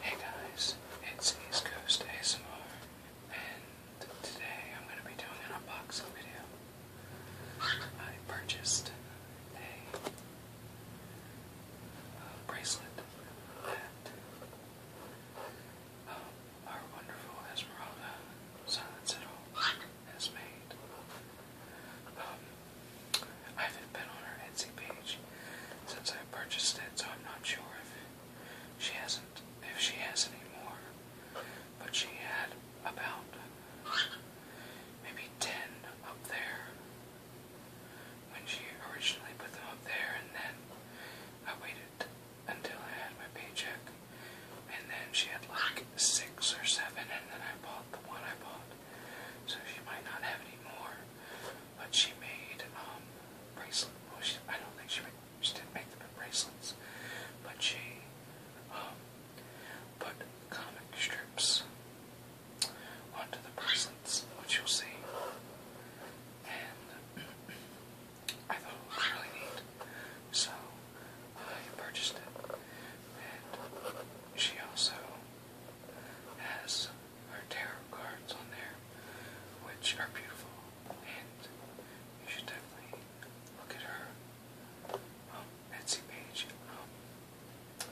Hey guys, it's East Coast ASMR, and today I'm going to be doing an unboxing video. I purchased a uh, bracelet um, our wonderful Esmeralda, Silence at All, has made. Um, I have been on her Etsy page since I purchased it, so I'm not sure if she hasn't, if she has any more. But she had about maybe ten up there when she originally put them up there, and then I waited until I had my paycheck. And then she had like six or seven, and then I bought the one I bought. So she might not have any more. But she made um, bracelets. I don't think she made, she didn't make them in bracelets, but she um, put comic strips onto the bracelets, which you'll see. I thought it was really neat. So I purchased it. And she also has her tarot cards on there, which are beautiful. And you should definitely look at her um, Etsy page. Um,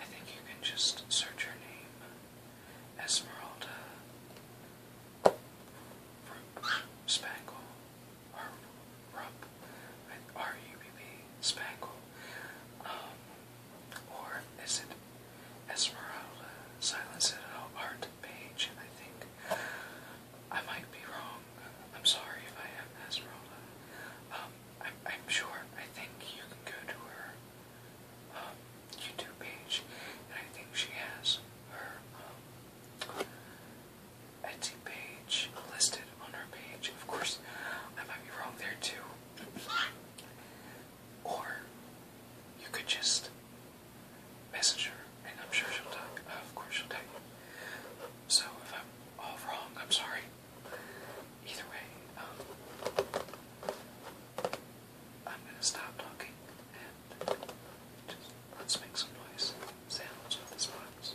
I think you can just search her name, Esmeralda from Spangle, or Rump, with R-U-B-B, Spangle, um, or is it Esmeralda, Silence Citadel, oh, Art Page, I think. I might be wrong, I'm sorry if I have Esmeralda. Um, I'm, I'm sure, I think you can go to her, um, YouTube page, and I think she has her um, Etsy page listed on her page. Of course, I might be wrong there too. or you could just message her, and I'm sure she'll talk. of course, she'll talk. So if I'm all wrong, I'm sorry. Either way, um, I'm gonna stop talking let's make some noise sounds with this box.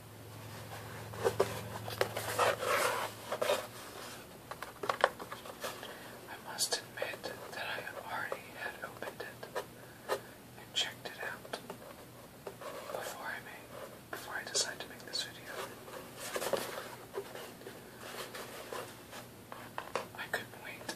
I must admit that I already had opened it and checked it out before I made before I decided to make this video. I couldn't wait.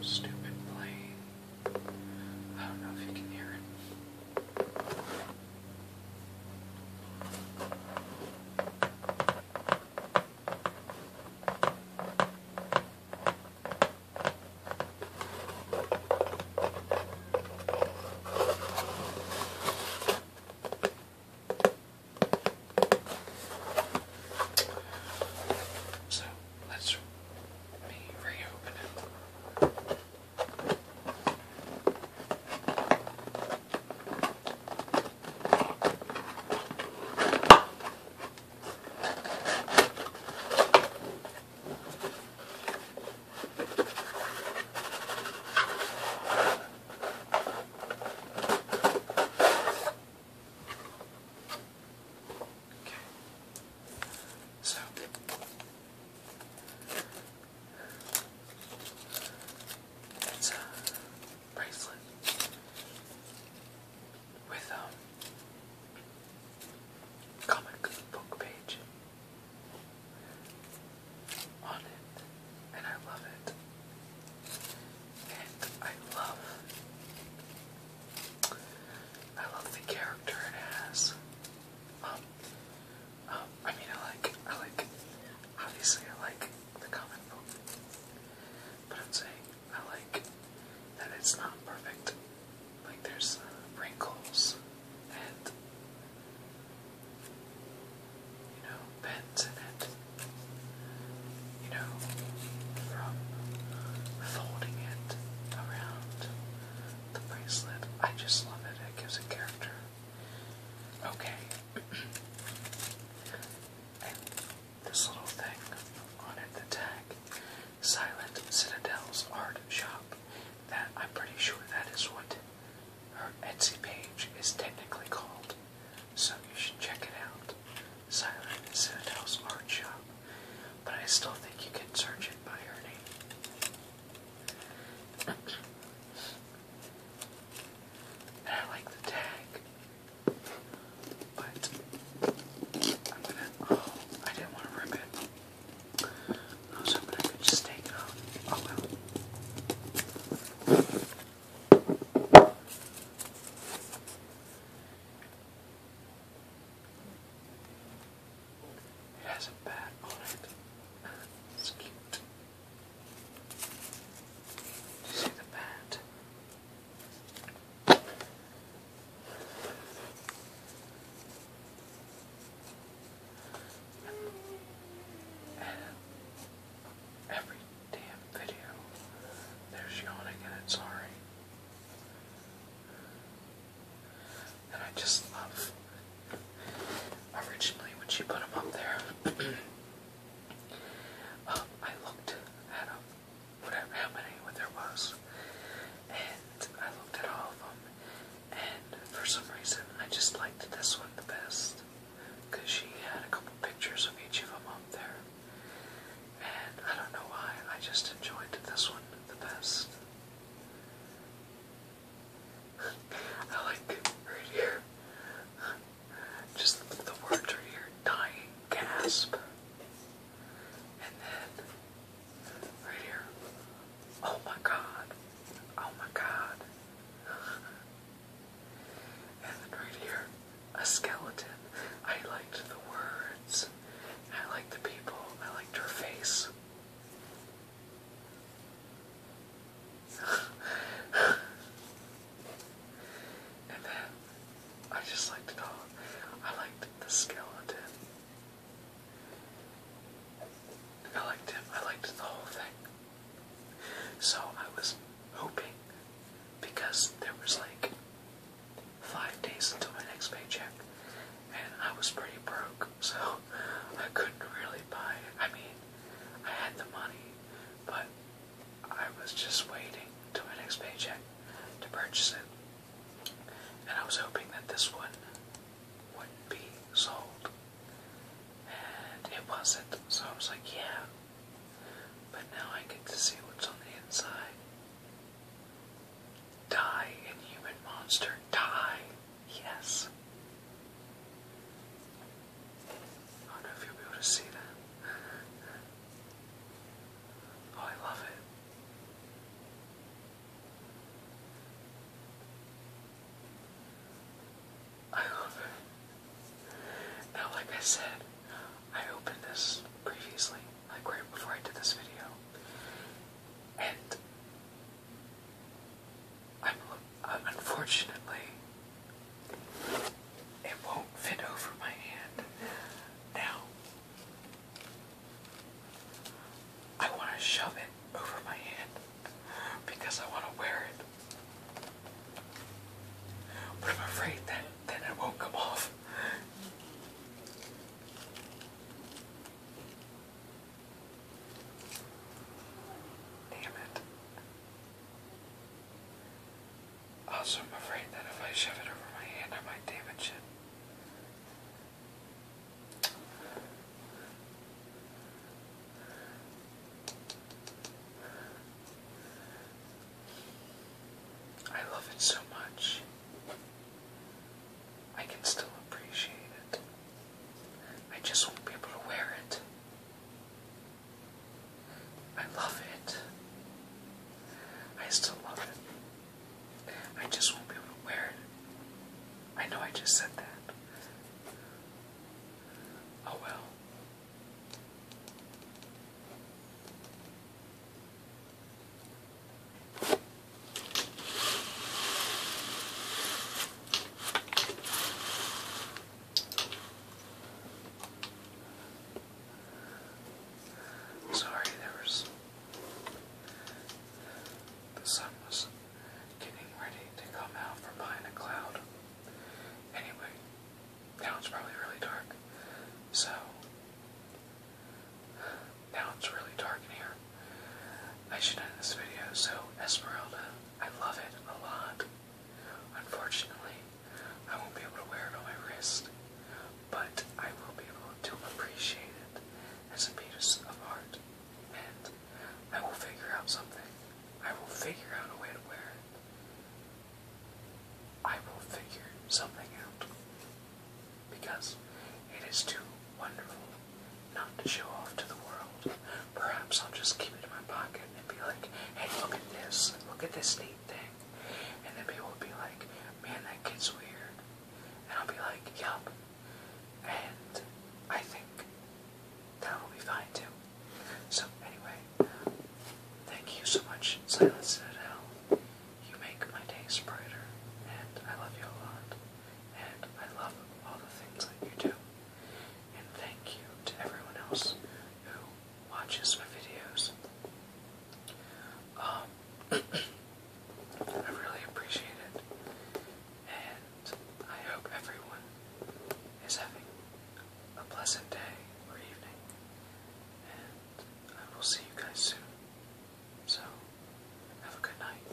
Stupid plane. I don't know if you can hear it. So let's me reopen it. So it's a bracelet with um comic book page on it, and I love it. And I love, I love the character it has. Um, um, I mean, I like, I like, obviously, I like the comic book, but I'm saying I like that it's not perfect like there's wrinkles and you know bends in it. You know, from folding it around the bracelet. I just love it. It gives a character. Okay. and this little thing on it, the tag, Silent Citadel's art shop. That I'm pretty sure that is what her Etsy page is technically called. So you should check it out. Silent Citadel's art shop. But I still think you can search it by her name. I like the tag. But I'm gonna oh, I didn't want to rip it. I was hoping I could just take it off. Oh well. It has a bat on it. It's cute. Do you see the bat? Every damn video, there's yawning and it's sorry. And I just love. Originally, when she put them up there, uh, I looked at them whatever happening, what there was. And I looked at all of them, and for some reason, I just liked this one the best because she had a couple pictures of each of them up there. And I don't know why, I just enjoyed this one the best. I like right here. Just the words are here dying gasp. And then right here. Oh my god. Oh my god. And then right here, a skeleton. I liked the words. I liked the people. I liked her face. and then I just liked the dog. I liked the skeleton. I liked him. I liked the whole thing. So I was hoping, because there was like five days until my next paycheck, and I was pretty broke, so I couldn't really buy it. I mean, I had the money, but I was just waiting till my next paycheck to purchase it. And I was hoping that this one wouldn't be sold. And it wasn't, so I was like, yeah. But now I get to see what's on the inside. Die, inhuman monster, die! Yes. I don't know if you'll be able to see that. Oh, I love it. I love it. Now, like I said, I opened this previously, like right before I did this video, and i unfortunately it won't fit over my hand. Now, I want to shove it over my head because I want to wear it. But I'm afraid that then it won't come off. Damn it. Also, I'm afraid that if I shove it over my hand, I might damage it. I love it so much. I can still appreciate it. I just won't be able to wear it. I love it. I still love it. I just won't be able to wear it. I know I just said that. Oh well. Sorry, there was. The sun was getting ready to come out from behind a cloud. Anyway, now it's probably really dark. So, now it's really dark in here. I should end this video. So, Esmeralda, I love it a lot. Unfortunately, I won't be able to wear it on my wrist, but I will be able to appreciate it as a piece of art. And I will figure out something. I will figure out a way to wear it. I will figure something out. Because it is too wonderful not to show off to the world. Perhaps I'll just keep it in my pocket and be like, hey, look at this. Look at this neat thing. And then people will be like, man, that kid's weird. And I'll be like, yup. And I think that will be fine too. So, anyway, thank you so much, Silence Citadel. You make my day brighter, and I love you a lot. And I love all the things that you do. And thank you to everyone else who watches my videos. Um, I really appreciate it, and I hope everyone is having a pleasant day or evening, and I will see you guys soon. So, have a good night.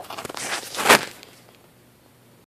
Bye.